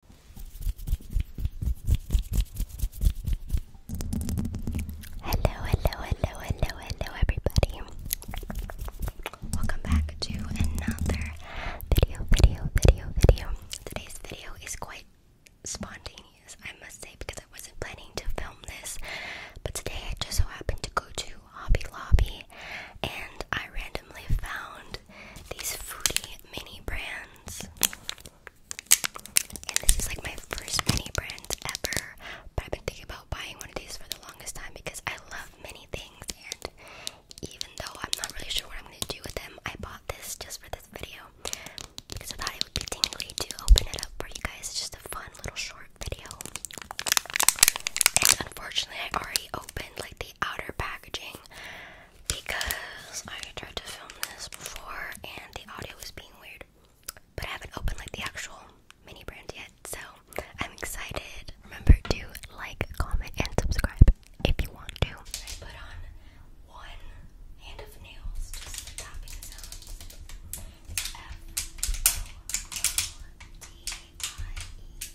Hello, hello, hello, hello, hello, everybody. Welcome back to another video, video, video, video. Today's video is quite spontaneous, I must say, because I wasn't planning to film this. But today I just so happened to go to Hobby Lobby and I randomly found these fruity mini Brands. And this is like my first mini brand ever. But I've been thinking about buying one of these for the longest time because I love many things. And even though I'm not really sure what I'm going to do with them, I bought this just for this video. Because I thought it would be tingly to open it up for you guys. It's just a fun little short video. And unfortunately, I already opened like the outer packaging because I tried to film this before and the audio was being weird. But I haven't opened like the actual mini brand yet, so I'm excited. Remember to like, comment, and subscribe if you want to. put on one hand of nails, just the sounds. It's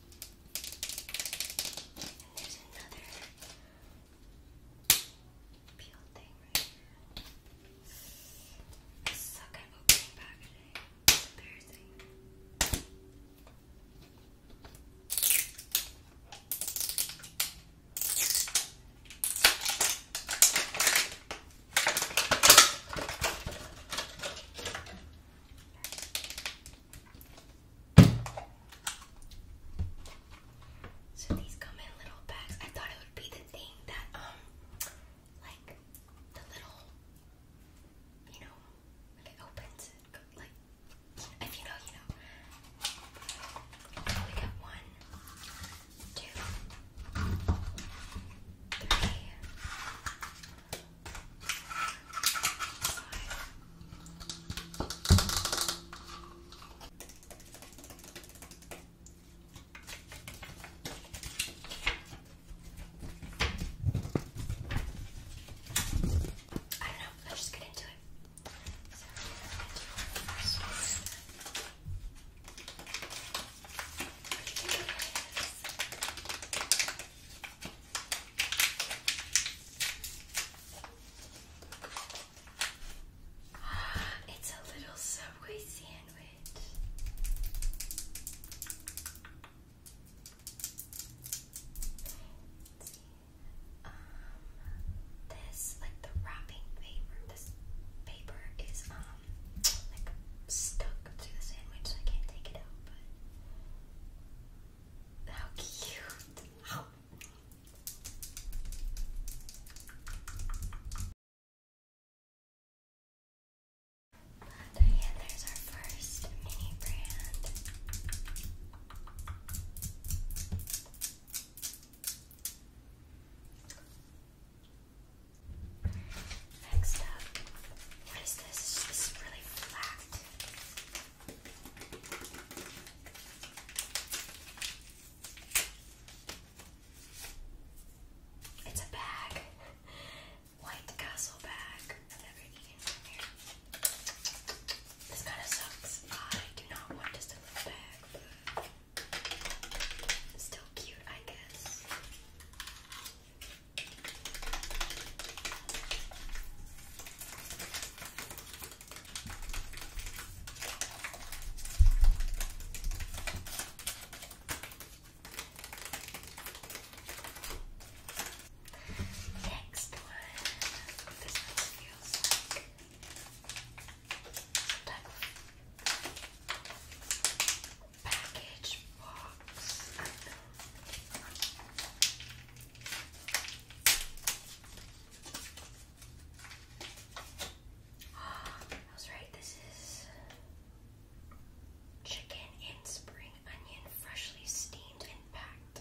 And there's another peel thing right here. I suck at opening packaging. It's embarrassing. Right. So these come in little bags. I thought it would be the thing that um like the little you know like it opens like if you know you know. we got one, two, three, I don't know, let's just get into it. So, let's get into it what do you think it is? It's a little Subway sandwich. Um, this, like the wrapping paper, this paper is um like stuck to the sandwich, so I can't take it out. How cute. Oh. Diane, there's our first mini brand. Next up, what is this? This is really flat. It's a bag. White Castle bag. This kind of sucks. I do not want just a little bag, still cute, I guess. Next one. This one feels like some type of package right, this is chicken and spring onion freshly steamed and packed.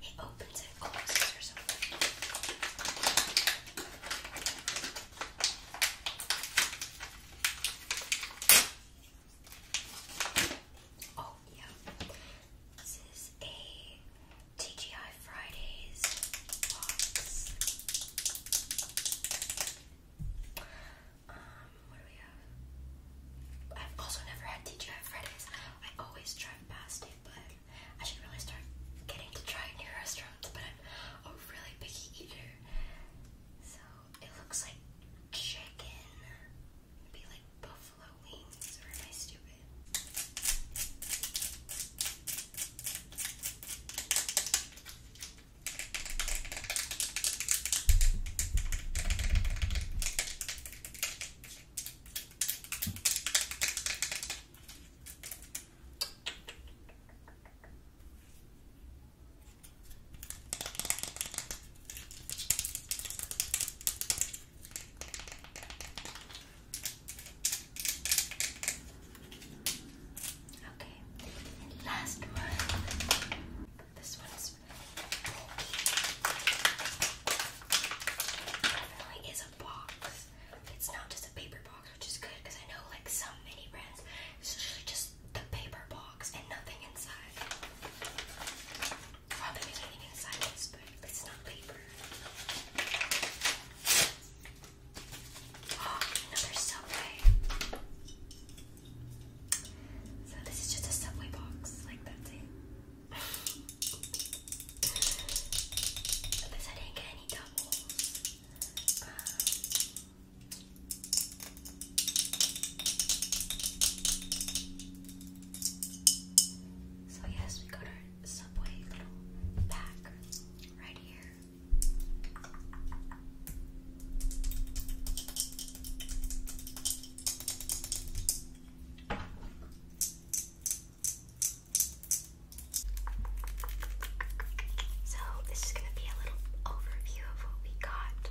He opens it, closes Oh, yeah. This is a TGI Fridays box. Um, I've also never had TGI Fridays. I always drive past but I should really start getting to try new restaurants. But I'm a really picky eater, so it looks like chicken. it like buffalo wings, or am I stupid? Okay, and last one. This one is Definitely is a box. It's not just a paper box, which is good because I know like some mini brands, it's usually just the paper box and nothing inside. Well, there is anything inside this, but it's not paper. Oh, another subway. So this is just a subway box, like that it. Unless I didn't get any doubles. Um, so yes, we got our subway little pack right here. So, this is going to be a little overview of what we got.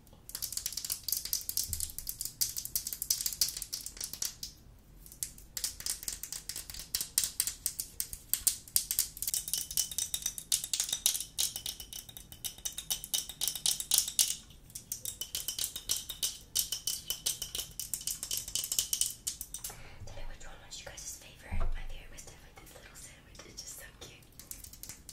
Tell me which one was you guys' favorite. My favorite was definitely this little sandwich. It's just so cute. Hope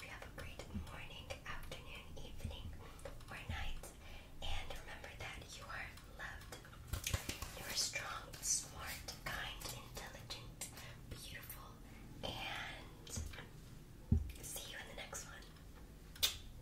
you have a great morning, afternoon, evening, or night. And remember that you are loved. You are strong, smart, kind, intelligent, beautiful, and see you in the next one.